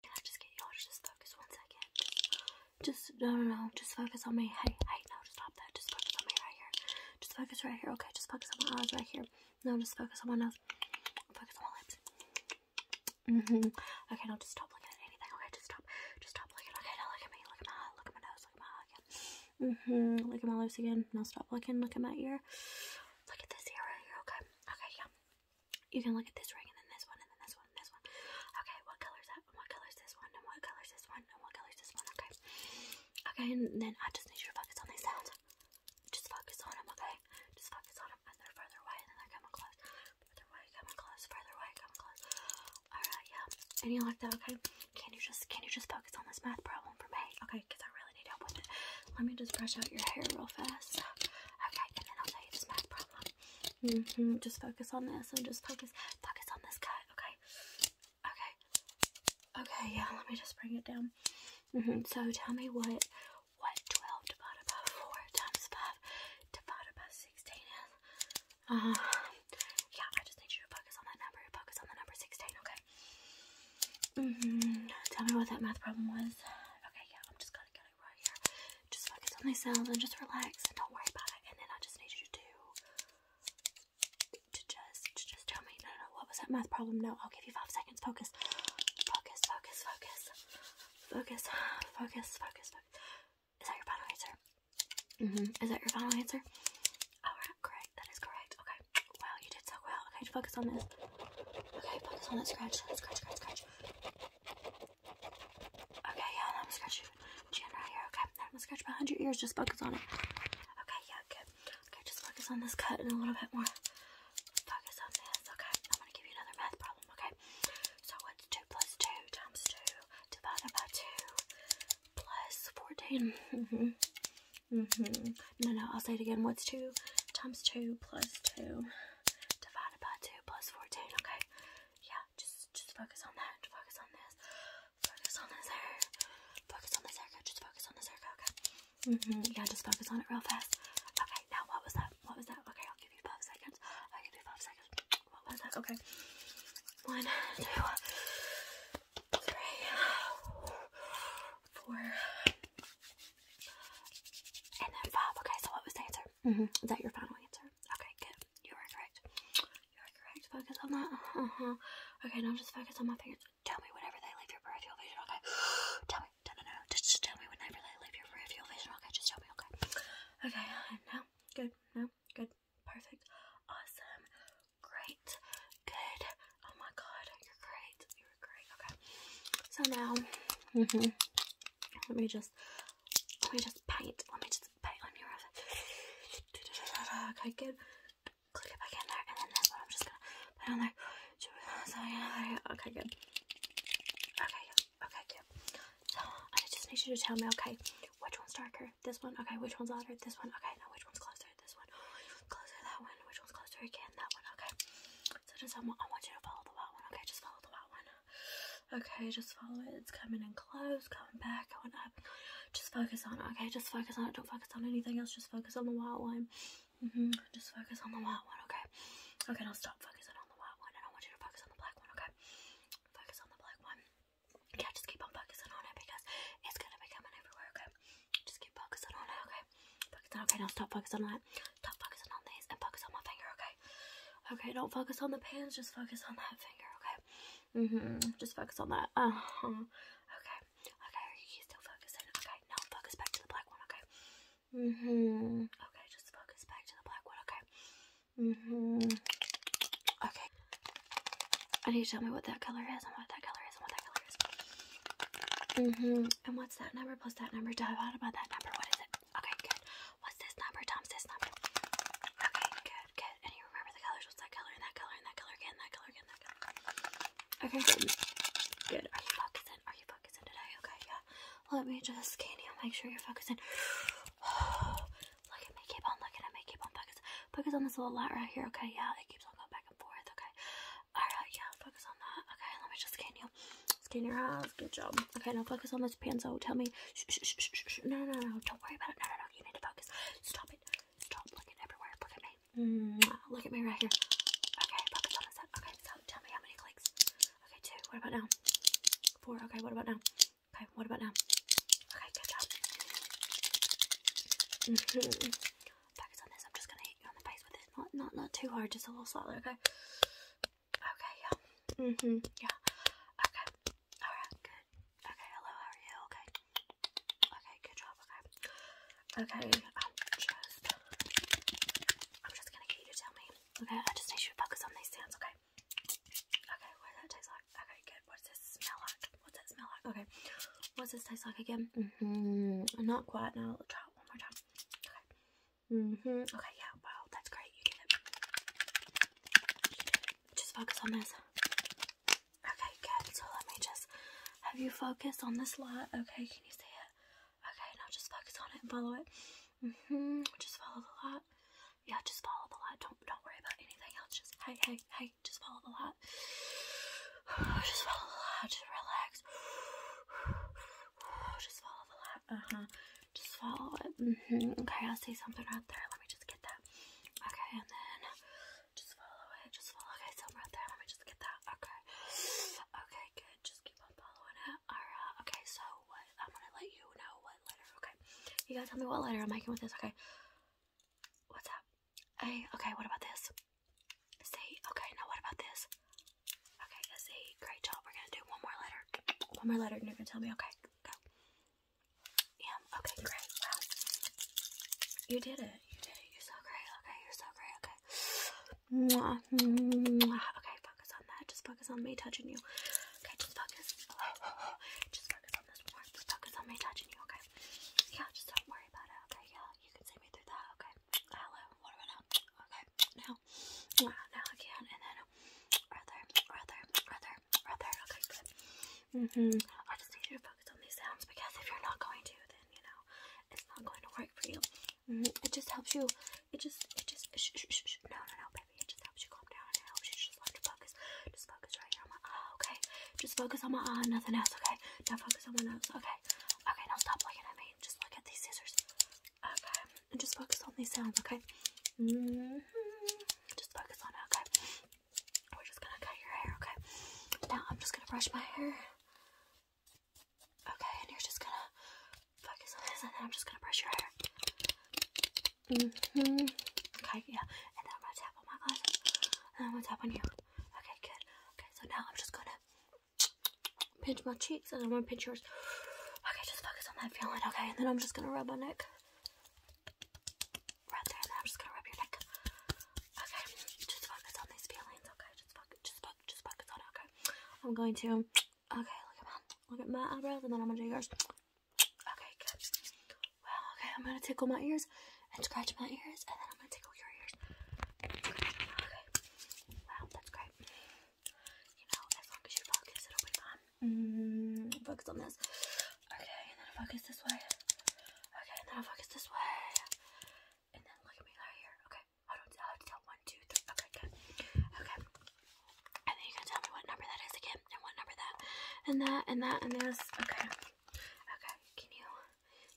Can I just get y'all to just focus one second? Just, just, no, no, no. Just focus on me. Hey, hey, no, stop that. Just focus on me right here. Just focus right here. Okay, just focus on my eyes right here. No, just focus on my nose. Focus on my lips. Mm hmm Okay, now just stop looking at anything. Okay, just stop. Just stop looking. Okay, now look at me. Look at my eye. Look at my nose. Look at my eye again. Mm hmm Look at my lips again. Now stop looking. Look at my ear. Look at this ear right here. Okay. Okay, yeah. You can look at this ring and then this one and then this one and this one. Okay, what color is that? And what color is this one? And what color is this one? And what color is this one? Okay. Okay, and then I just need you to focus on these sounds. Just focus on them, okay? Just focus on them. And they're further away and then they're coming close. Further away, coming close. Further away, coming close. Alright, yeah. And you like that, okay? Can you just can you just focus on this math problem for me? Okay, because I really need help with it. Let me just brush out your hair real fast. Okay, and then I'll tell you this math problem. Mm-hmm. Just focus on this and just focus focus on this cut, okay? Okay. Okay, yeah, let me just bring it down. Mm-hmm. So tell me what what twelve divided by four times five divided by sixteen is. Uh-huh. yeah, I just need you to focus on that number. Focus on the number sixteen, okay? Mm -hmm. Tell me what that math problem was. Okay, yeah, I'm just gonna just focus on these sounds and just relax and don't worry about it. And then I just need you to to just to just tell me, no, no, what was that math problem? No, I'll give you five seconds. Focus, focus, focus, focus, focus, focus, focus, Is that your final answer? Mm-hmm. Is that your final answer? Alright, great. That is correct. Okay. Wow, you did so well. Okay, focus on this. Okay, focus on that scratch. Scratch, scratch, scratch. Okay, yeah, and I'm gonna scratch your chin right here. Okay, now I'm gonna scratch behind your ears. Just focus on it. Okay, yeah, good. Okay, just focus on this cut and a little bit more. Focus on this. Okay, I'm gonna give you another math problem. Okay, so what's two plus two times two divided by two fourteen? Mm-hmm. Mm-hmm. No, no. I'll say it again. What's two times two plus two? divided by 2 plus 14, okay? Yeah, just just focus on that, focus on this, focus on this hair, focus on this haircut, just focus on this haircut, okay? Mm-hmm. yeah, just focus on it real fast. Okay, now what was that? What was that? Okay, I'll give you five seconds. I'll give you five seconds. What was that? Okay. One, two, three, four, and then five. Okay, so what was the answer? Mm-hmm. Is that your final answer? Okay, good. You are correct. You are correct. Focus on that. Uh huh. Okay, now just focus on my fingers. Tell me whatever they leave your Your vision. Okay. tell me. No, no, no. Just, tell me whatever they leave your Your vision. Okay, just tell me. Okay. Okay. Uh, no. good. No. good. Perfect. Awesome. Great. Good. Oh my God. You're great. You're great. Okay. So now. Mm hmm let me just, let me just paint. Let me just paint on your eyes. Okay, good. Click it back in there, and then this one I'm just gonna put on there. Okay, good. Okay, okay, good. So I just need you to tell me, okay, which one's darker? This one. Okay, which one's lighter? This one. Okay, now which one's closer? This one. Which closer? That one. Which one's closer again? That one. Okay. So just I want, you to follow the white one. Okay, just follow the white one. Okay, just follow it. It's coming in close, coming back, going up. Just focus on it. Okay, just focus on it. Don't focus on anything else. Just focus on the white one. Mm-hmm. Just focus on the white one. Okay. Okay, now stop focusing on the white one, and I want you to focus on the black one. Okay. Focus on the black one. Yeah, just keep on focusing on it because it's gonna be coming everywhere. Okay. Just keep focusing on it. Okay. Focus on. Okay, now stop focusing on it. Stop focusing on these and focus on my finger, okay? Okay, don't focus on the pins, just focus on that finger, okay? Mm-hmm. Just focus on that. Uh-huh. Okay. Okay, are you still focusing? Okay, now focus back to the black one, okay? Mm-hmm. Okay, just focus back to the black one, okay? Mm-hmm. Okay. I need to tell me what that color is and what that color is and what that color is. Mm-hmm. And what's that number plus that number divided about that number? What is it? Okay, good. What's this number, Tom's this number? Okay, good, good. And you remember the colors. What's that color and that color and that color again, that color again, Okay, good. Are you focusing? Are you focusing today? Okay, yeah. Let me just scan you. Make sure you're focusing. look at me. Keep on looking at me. Keep on focusing. Focus on this little light right here. Okay, yeah. It keeps on going back and forth. Okay. All right, yeah. Focus on that. Okay, let me just scan you. Scan your eyes. Good job. Okay, now focus on this pencil. Tell me. Shh, shh, shh, no, no, no, no. Don't worry about it. No, no, no. You need to focus. Stop it. Stop looking everywhere. Look at me. Mm, look at me right here. Okay, focus on this. Side. Okay, so tell me how many clicks. Okay, two. What about now? Four. Okay, what about now? Okay, what about now? Okay, good job. Mm -hmm. Focus on this. I'm just gonna hit you on the face with it. Not, not, not too hard. Just a little slightly. Okay. Okay, yeah. hmm Yeah. Okay. Alright, good. Okay, hello, how are you? Okay. Okay, good job, okay. Okay, um just I'm just gonna get you to tell me. Okay, I just need you to focus on these sounds, okay? Okay, what does that taste like? Okay, good. does this smell like? What's that smell like? Okay. What's this taste like again? Mm-hmm. Not quite now. I'll try it one more time. Okay. Mm-hmm. Okay, yeah, wow, that's great. You did it. Just focus on this. Okay, good. So let me just have you focus on this light. Okay, can you see it? Okay, now just focus on it and follow it. Mm-hmm. Just follow the light. Yeah, just follow the light. Don't don't worry about anything else. Just hey, hey, hey, just follow the light. Just follow the light, just relax just follow the light. Uh-huh. Just follow it. Mm-hmm. Okay, I see something right there. Let me just get that. Okay, and then just follow it. Just follow. Okay, something right there. Let me just get that. Okay. Okay, good. Just keep on following it. Alright. Okay, so what? I'm gonna let you know what letter. Okay. You gotta tell me what letter I'm making with this. Okay. What's up? Hey, okay, what about this? See? Okay, now what about this? Okay, that's a great job. We're gonna do one more letter. One more letter, and you're gonna tell me, okay, go. Yeah, okay, great. You did it. You did it. You're so great. Okay, you're so great. Okay. Mwah, Okay, focus on that. Just focus on me touching you. Okay, just focus. Just focus on this one. Just focus on me touching you, okay? Yeah, just don't worry about it. Okay, yeah, you can see me through that. Okay. Hello. What about now? Okay okay, now, now again, and then other, other, other, other, okay, good. Mm hmm I just need you to focus on these sounds because if you're not going to, then, you know, it's not going to work for you. Mm-hmm. It just helps you, it just, it just, no, no, no, baby, it just helps you calm down it helps you just focus. Just focus right here oh, okay? Just focus on my eye, uh, nothing else, okay? Now focus on my nose, okay? Okay, now stop looking at me. Just look at these scissors. Okay, and just focus on these sounds, okay? Mm-hmm. Just focus on it, okay? We're just gonna cut your hair, okay? Now I'm just gonna brush my hair. Okay, and you're just gonna focus on this, and then I'm just gonna brush your hair. Mm-hmm. Okay, yeah. And then I'm gonna tap on my glasses, and I'm gonna tap on you. Okay, good. Okay, so now I'm just gonna pinch my cheek cheeks and I want to pinch yours. Okay, just focus on that feeling, okay? And then I'm just going to rub my neck. Right there, and then I'm just going to rub your neck. Okay, just focus on these feelings, okay? Just focus, just focus, just focus okay? I'm going to, okay, look at my, eyebrows, and then I'm going to do yours. Okay, good. okay, I'm going to tickle my ears and scratch my ears, and then I'm going to tickle your ears. Okay, wow, that's great you know, as long as you focus, it'll be fine. Mm, focus on this. Okay, and then I focus this way. Okay, and then I focus this way. And then look at me right here. Okay, I don't I have to tell one, two, three. Okay, good. Okay. And then you're gonna tell me what number that is again, and what number that, and that, and that, and this. Okay. Okay. Can you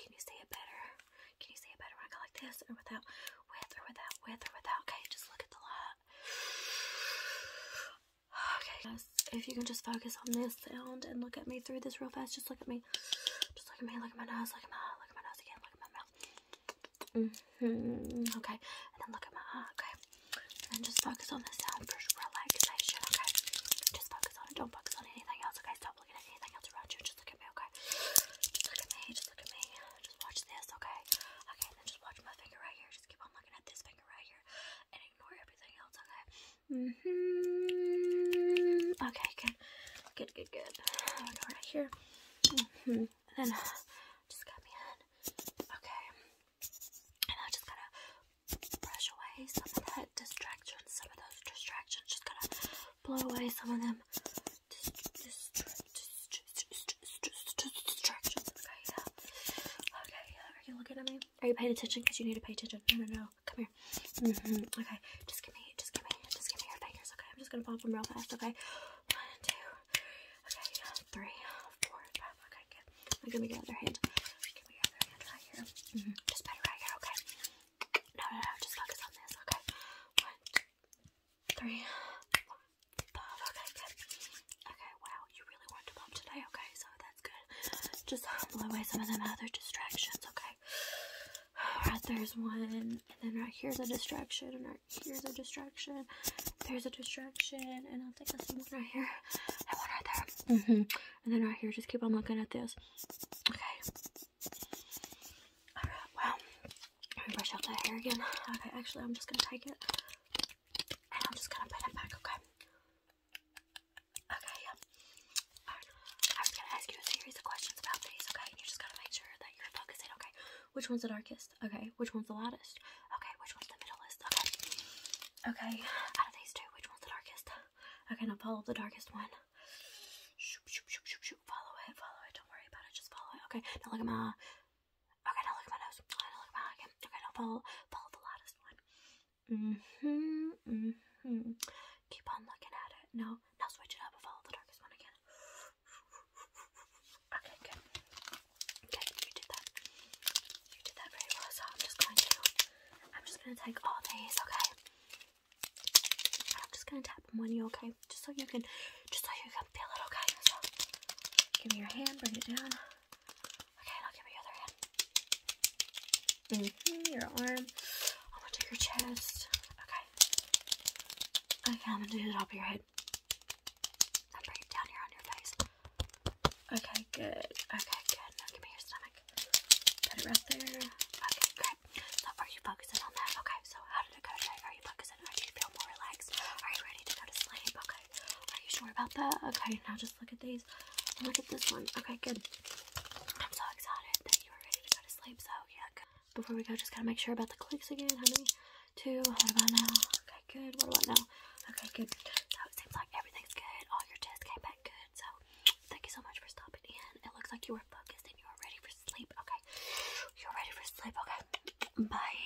can you say it better? Can you say it better when I go like this, or without, with, or without, with, or without? Okay, just look at the light. Okay, guys, if you can just focus on this sound and look at me through this real fast, just look at me. Just look at me, look at my nose, look at my eye, look at my nose again, look at my mouth. Mm -hmm. Okay, and then look at my eye, okay? And then just focus on the sound for relaxation, okay? Just focus on it, don't focus on anything else, okay? Stop looking at anything else around you, just look at me, okay? Just look at me, just look at me, just watch this, okay? Okay, and then just watch my finger right here, just keep on looking at this finger right here and ignore everything else, okay? Mm hmm Okay, good. Good, good, good. I'll go right here. Mm hmm And then uh, just cut me in. Okay. And I just gotta brush away some of that distraction, some of those distractions. Just gotta blow away some of them. Dist dist dist distractions. Okay, yeah. Okay, Are you looking at me? Are you paying attention? Because you need to pay attention. No, no, no. Come here. Mm-hmm. Okay, just give me, just give me, just give me your fingers. Okay, I'm just gonna pop them real fast. Okay, one, two, okay, three, four, five. Okay, good. Now give me your other hand. other hand mm-hmm. Just put it right here. Okay. No, no, no. Just focus on this. Okay. One, two, three, four. Okay, good. Okay, wow, you really weren't above today. Okay, so that's good. Just blow away some of them other distractions. Okay. Alright, there's one, and then right here's a distraction, and right here's a distraction. There's a distraction, and I think I see one right here, and one right there. -hmm. And then right here, just keep on looking at this. Okay. wow. Let me brush out that hair again. Okay, actually, I'm just gonna take it and I'm just gonna put it back, okay? Okay, yeah. I'm gonna ask you a series of questions about these, okay? And you just gotta make sure that you're focusing, okay? Which one's the darkest? Okay, which one's the lightest? Okay, which one's the middleest? Okay. Okay, out of these two, which one's the darkest? Okay, now follow the darkest one. Shoop, shoop, shoop, shoop, shoop. Follow it, follow it. Don't worry about it, just follow it. Okay, now look at my Okay, now look at my nose. Okay, now follow, follow the loudest one. hmm hmm Keep on looking at it. Now, now switch it up follow the darkest one again. Okay, good. Okay, you did that. You did that very well, so I'm just going to, I'm just going to take all these, okay? I'm just going to tap them on you, okay? Just so you can, just so you up Give me your hand, bring it down. Okay, now give me other hand. Mm your arm. I'm gonna do your chest. Okay. Okay, I'm gonna do the top of your head. bring it down here on your face. Okay, good. Okay, good. Now give me your stomach. Put it right there. Okay, great. So are you focusing on that? Okay, so how did it go today? Are you ready to go to sleep? Okay. Are you sure about that? Okay. Now just look at these. look at this one. Okay. Good. I'm so excited that you are ready to go to sleep. So yeah. Good. Before we go, just gotta make sure about the clicks again. How many? Two. How about now? Okay. Good. What about now? Okay. Good. So it seems like everything's good. All your tests came back good. So thank you so much for stopping in. It looks like you were focused and you are ready for sleep. Okay. You're ready for sleep. Okay. Bye.